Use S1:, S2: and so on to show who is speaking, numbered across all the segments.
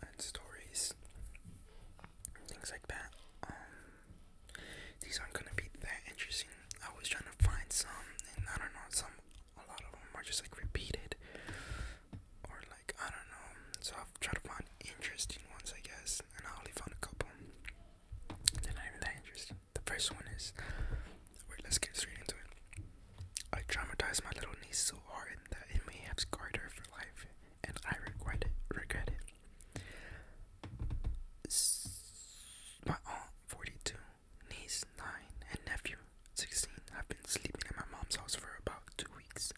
S1: and stories, things like that. Um, these aren't gonna be that interesting. I was trying to find some, and I don't know, some, a lot of them are just like repeated, or like I don't know. So I've tried to find interesting ones, I guess, and I only found a couple. They're not even interesting. The first one is, wait, let's get straight into it. I traumatized my little niece so hard that it may have scarred her for life, and I regret it. Regret it. My aunt, 42, niece, 9, and nephew, 16, have been sleeping at my mom's house for about two weeks,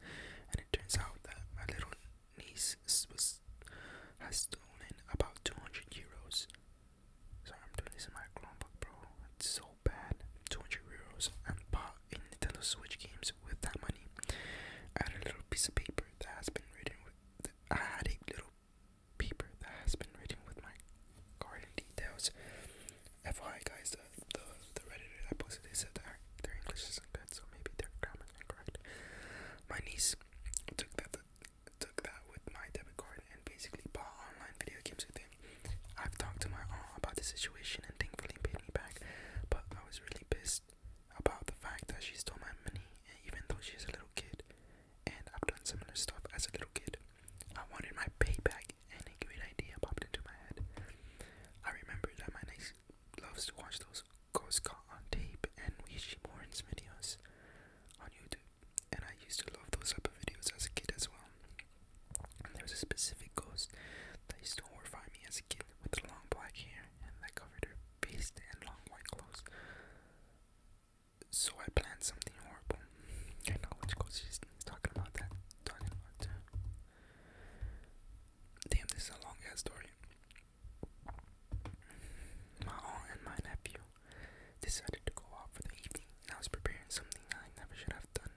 S1: and it turns out that my little niece was, has stolen about 200 euros. Sorry, I'm doing this in my Chromebook, bro. It's so bad, 200 euros, and bought Nintendo Switch games with that money. I had a little piece of paper that has been written with. I had a little paper that has been written with my garden details. FYI, guys, the the, the redditor that posted they said that their English isn't good, so maybe their grammar is incorrect. My niece took that took that with my debit card and basically bought online video games with it. I've talked to my aunt about the situation and thankfully paid me back, but I was really pissed about the fact that she stole my money, and even though she's a little kid, and I've done similar stuff as a little kid, I wanted my payback, and a great idea popped into my head. I remember that my niece loves to watch those ghost caught on tape and Ouija Morin's videos on YouTube, and I used to love those type of videos as a kid as well. There was a specific ghost that used to horrify me as a kid with the long black hair and that covered her face and long white clothes. So I planned something horrible. I know which she's talking about that. Talking about Damn, this is a long ass story. My aunt and my nephew decided to go out for the evening I was preparing something I never should have done.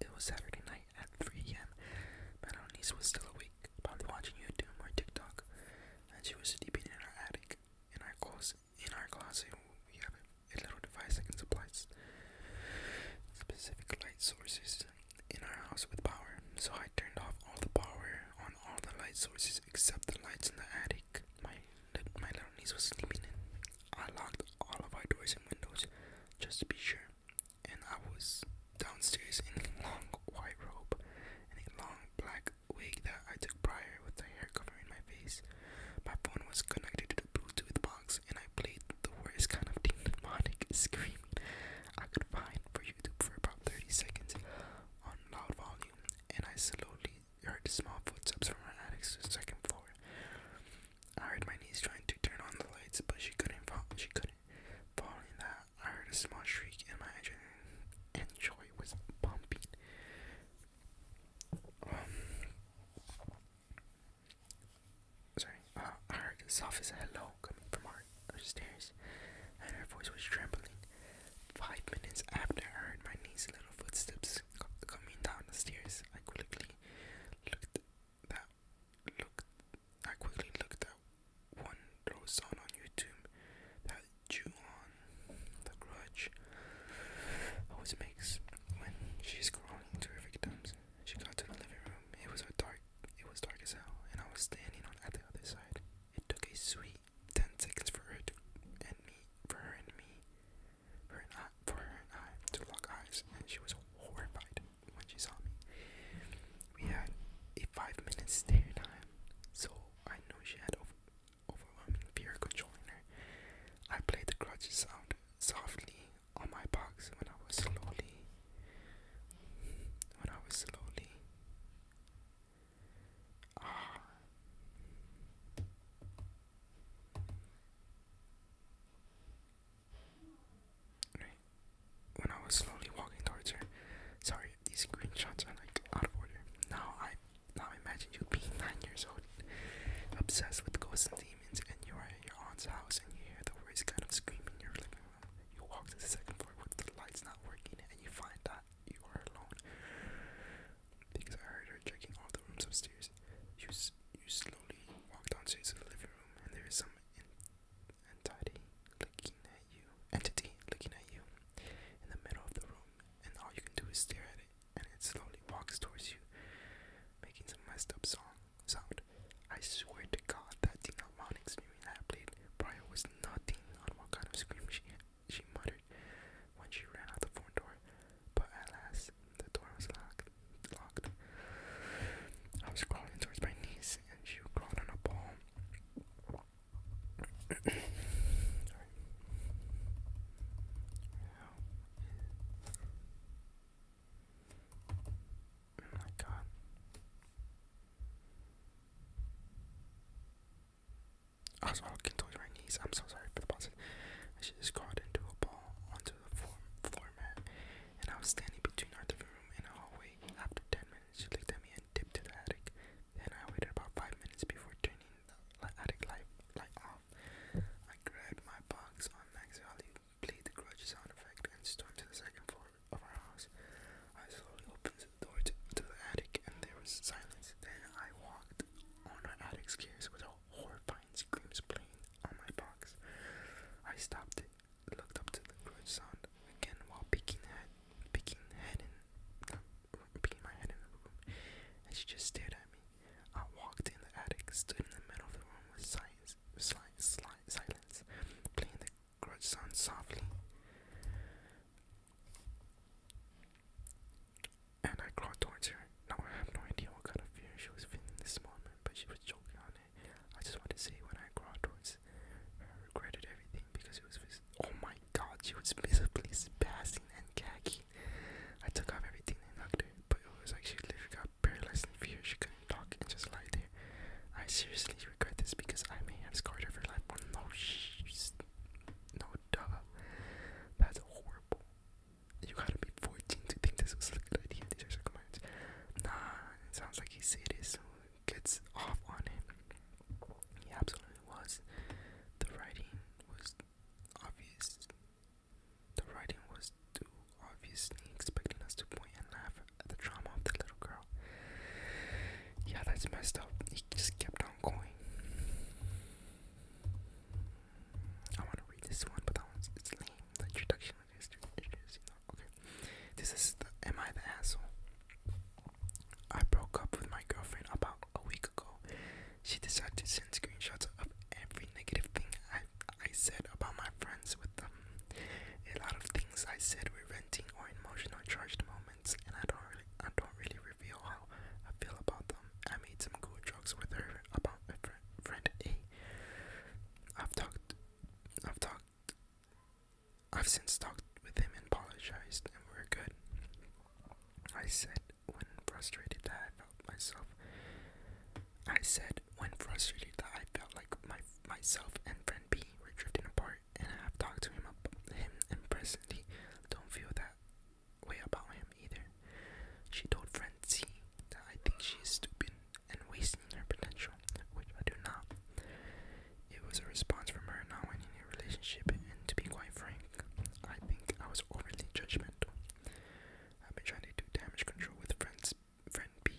S1: It was Saturday night at 3 a.m. My little niece was still awake, probably watching you do or TikTok, and she was sleeping in our attic. In our closet, in our closet, we have a little device that can supply specific light sources in our house with power. So I turned off all the power on all the light sources except the lights in the attic that my little niece was sleeping in. I locked all of our doors and windows just to be sure, and I was downstairs in a long white robe and a long black wig that I took prior with the hair covering my face. My phone was connected to the Bluetooth box, and I played the worst kind of demonic screaming I could find for YouTube for about 30 seconds on loud volume, and I slowly I heard small footsteps from her attic to the second floor. I heard my niece trying to turn on the lights, but she couldn't. Fall. She couldn't. Following that, I heard a small shriek, and my engine and joy was pumping. Um, sorry. Uh, I heard a soft hello coming from our, our and her voice was trembling. Five minutes after I heard my niece's little footsteps was coming down the stairs. I quickly looked that looked. I quickly looked at one that was on on YouTube that drew on the grudge. Always makes when she's crawling to her victims. She got to the living room. It was a dark. It was dark as hell, and I was standing on at the other side. It took a sweet ten seconds for her to, and me, for her and me, for, her and I to lock eyes, and she was horrified when she saw me. We had a five-minute stare time, so I knew she had over overwhelming fear controlling her. I played the grudge sound softly on my box when I was slowly, when I was slowly. When I was slowly walking towards her, sorry, these screenshots are like out of order. Now I now imagine you being nine years old, obsessed with ghosts and demons, and you are at your aunt's house and you hear the voice kind of screaming. You're like, uh, you walk to the second floor with the lights not working, and you find that you are alone because I heard her checking all the rooms upstairs. You, you slowly walk downstairs to the living room, and there is some entity looking at you. Entity looking at you in the middle of the room, and all you can do is stare at it, and it slowly walks towards you, making some messed up song sound. I swear to God, that Dinamonics movie that I played prior was nothing on what kind of scream she had she muttered when she ran out the front door. But at last, the door was locked. Locked. I was crawling towards my niece, and she crawled on a ball. Oh my god. I was all contorted my knees. I'm so sorry for the pause. And she just crawled into a ball onto the floor, floor mat, and I was standing between our living room and a hallway. After ten minutes, she looked at me and dipped to the attic. Then I waited about five minutes before turning the attic light light off. I grabbed my box on Max Alley, played the grudge sound effect, and stormed to the second floor of our house. I slowly opened to, the attic, and there was silence. Then I walked on the attic stairs with a horrifying screams playing on my box. I stopped it, looked up to the good sound again while picking head, picking head in, peeking my head in the room, and she just stared at me. I walked in the attic, stood in the middle of the room with silence, silence, silence, playing the grudge sound softly. And I crawled towards her. Now I have no idea what kind of fear she was feeling this moment, but she was joking on it. I just want to say when I crawled towards her, I regretted everything because it was. oh my god, she was visibly passing and gagging. I took off everything and hugged her, but it was like she literally got paralyzed in fear. She couldn't talk and just lied there. I seriously regret this because I may have scarred her for life. Oh no, shh. No, duh. That's horrible. You gotta be 14 to think this was a good idea. These are commands. Nah, it sounds like he sadist gets off on it. He absolutely was. The writing was obvious. The writing was too obviously expecting us to point and laugh at the trauma of the little girl. Yeah, that's messed up. He just kept on going. I want to read this one, but that one's it's lame. introduction Okay. This is the Am I the Asshole? I broke up with my girlfriend about a week ago. She decided to send screenshots of every negative thing I said about my friends with them. A lot of things I said were renting or emotional charged moments and I don't really, I don't really reveal how I feel about them. I made some cool jokes with her about friend, friend A. I've talked, I've talked, I've since talked with him and apologized, and we're good. I said when frustrated that I felt myself. I said when frustrated that I felt like my myself and friend B were drifting apart and I have talked to him about him and presently don't feel that way about him either. She told Francie that I think she's stupid and wasting her potential, which I do not. It was a response from her not wanting a relationship and to be quite frank, I think I was overly judgmental. I've been trying to do damage control with friends friend B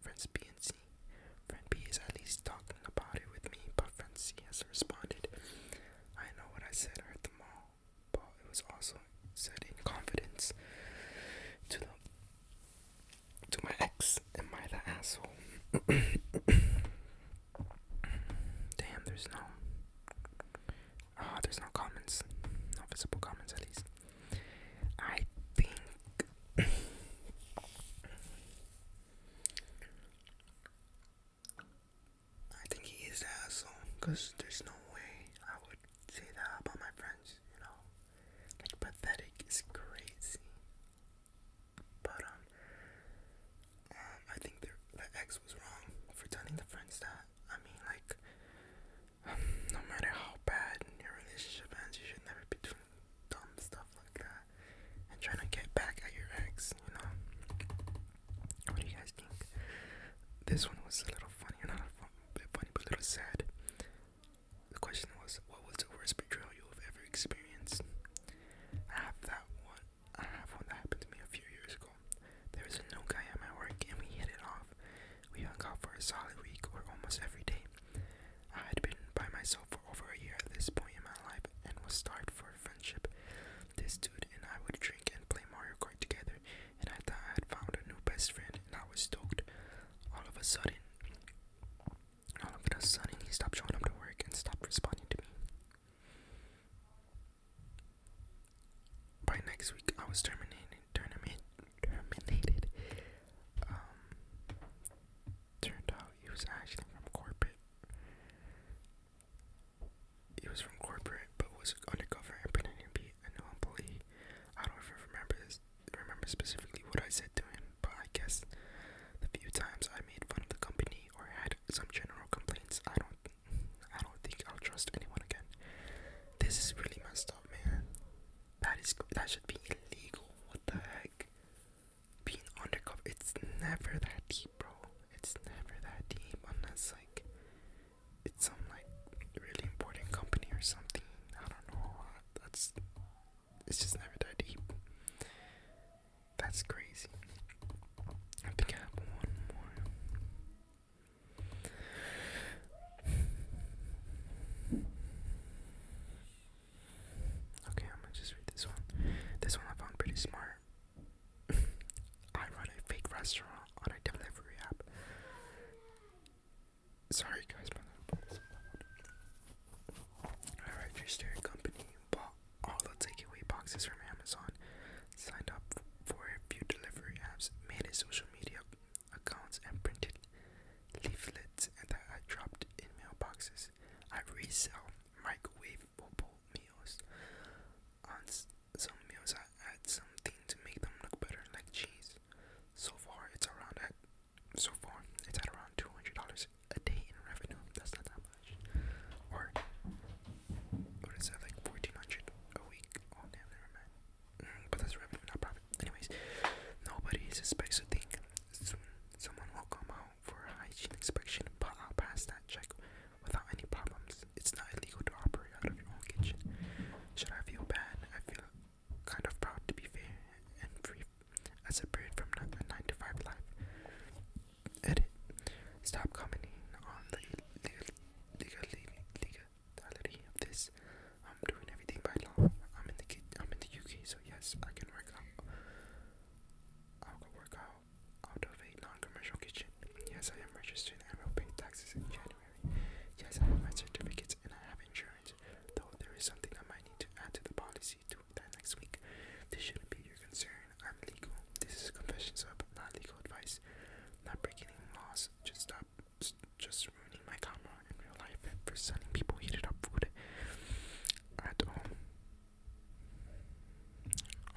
S1: Friend B and C. Friend B is at least talking about it with me, but friend C has responded. I know what I said at the mall, but it was also said in confidence to the to my ex. Am I the asshole? Damn, there's no ah, there's no comments, no visible comments at least. I think I think he is asshole, because there's no way I would say that about my friends, you know? Like, pathetic is crazy. But, um, um I think the, the ex was wrong for telling the friends that. I mean, like, no matter how bad your relationship ends, you should never be doing dumb stuff like that and trying to get back at your ex, you know. What do you guys think? This one was a little funny, not a bit funny, but a little sad. The question was, what was the worst betrayal you have ever experienced? I have that one. I have one that happened to me a few years ago. There was a new guy at my work, and we hit it off. We hung out for a solid week or almost every day. I had been by myself for over a year at this point in my life and was starved for friendship. This dude and I would drink and play Mario Kart together, and I thought I had found a new best friend, and I was stoked. All of a sudden, all of a sudden, he stopped showing up to work and stopped responding to me. By next week, I was terminated, terminated, terminated. Um, turned out he was actually from corporate. He was from corporate, but was undercover and pretending to be a new employee. I don't even remember this, remember specifically what I said to him, but I guess the few times I made fun of the company or had some general complaints, I don't, I don't think I'll trust anyone again. This is really messed up, man. That is that should be illegal. What the heck? Being undercover, it's never that deep, bro. It's never that deep unless like it's some like really important company or something. I don't know. That's it's just never that deep. That's crazy. I think I have one more. Okay, I'm gonna just read this one. This one I found pretty smart. I run a fake restaurant on a delivery app. Sorry guys, my I Alright, your steering company bought all the takeaway boxes from Amazon, signed up for a few delivery apps, made a social media accounts and printed leaflets that I dropped in mailboxes. I resell microwavable meals. On some meals, I add something to make them look better, like cheese. So far, it's around at so far it's at around two hundred dollars a day in revenue. That's not that much. Or what is that like fourteen hundred a week? Oh damn, but that's revenue, not profit. Anyways, nobody suspects a thing. someone will come out for a hygiene inspection, but i pass that check without any problems. It's not illegal to operate out of your own kitchen. Should I feel bad? I feel kind of proud to be fair and free as a bird from a 9 to 5 life. Edit. Stop commenting on the mentality of this. I'm doing everything by law. I'm in the I'm in the UK, so yes, I can work out. I'll go work out out of a non-commercial kitchen. Yes, I am registered and will pay taxes in January. Yes, I have my certificates and I have insurance. Though there is something I might need to add to the policy to that next week. This shouldn't be your concern. I'm legal. This is confessions of not legal advice. Not breaking any laws. Just stop up just ruining my karma in real life for sending people heated up food at home.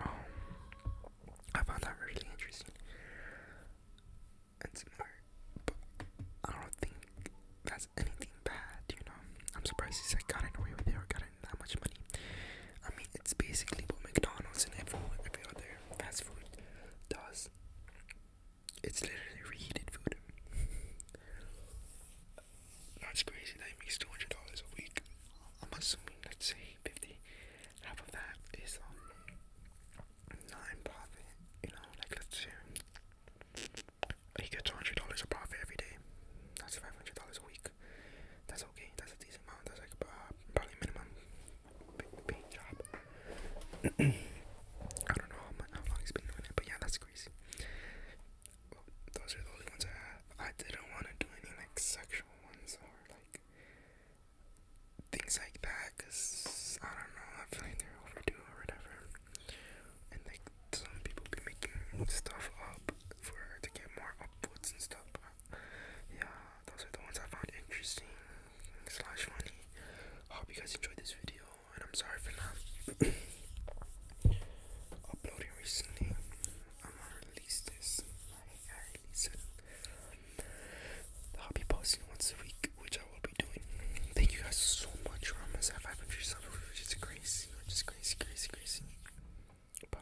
S1: Um, um, I found that really interesting and smart, but I don't think that's anything bad, you know. I'm surprised he said got away with it or got that much money. I mean, it's basically what McDonald's and every other fast food does. It's literally reheated food. That's crazy that he makes two hundred dollars a week. I'm assuming let's say fifty. Half of that is on um, non-profit. You know, like let's say he gets two hundred dollars a profit every day. That's five hundred dollars a week. That's okay. That's a decent amount. That's like uh, probably minimum paint job. I don't know how, long he's been doing it, but yeah, that's crazy. those are the only ones I have. I didn't want to do any like sexual ones or like things like that, cause I don't know. I feel like they're overdue or whatever, and like some people be making stuff up for her to get more upvotes and stuff. But yeah, those are the ones I found interesting slash funny. I hope you guys enjoyed this video, and I'm sorry for not uploading recently. I'm gonna release this. I will be posting once a week, which I will be doing. Thank you guys so much for almost at 500 subs, which is crazy, which is crazy, crazy, crazy. Bye.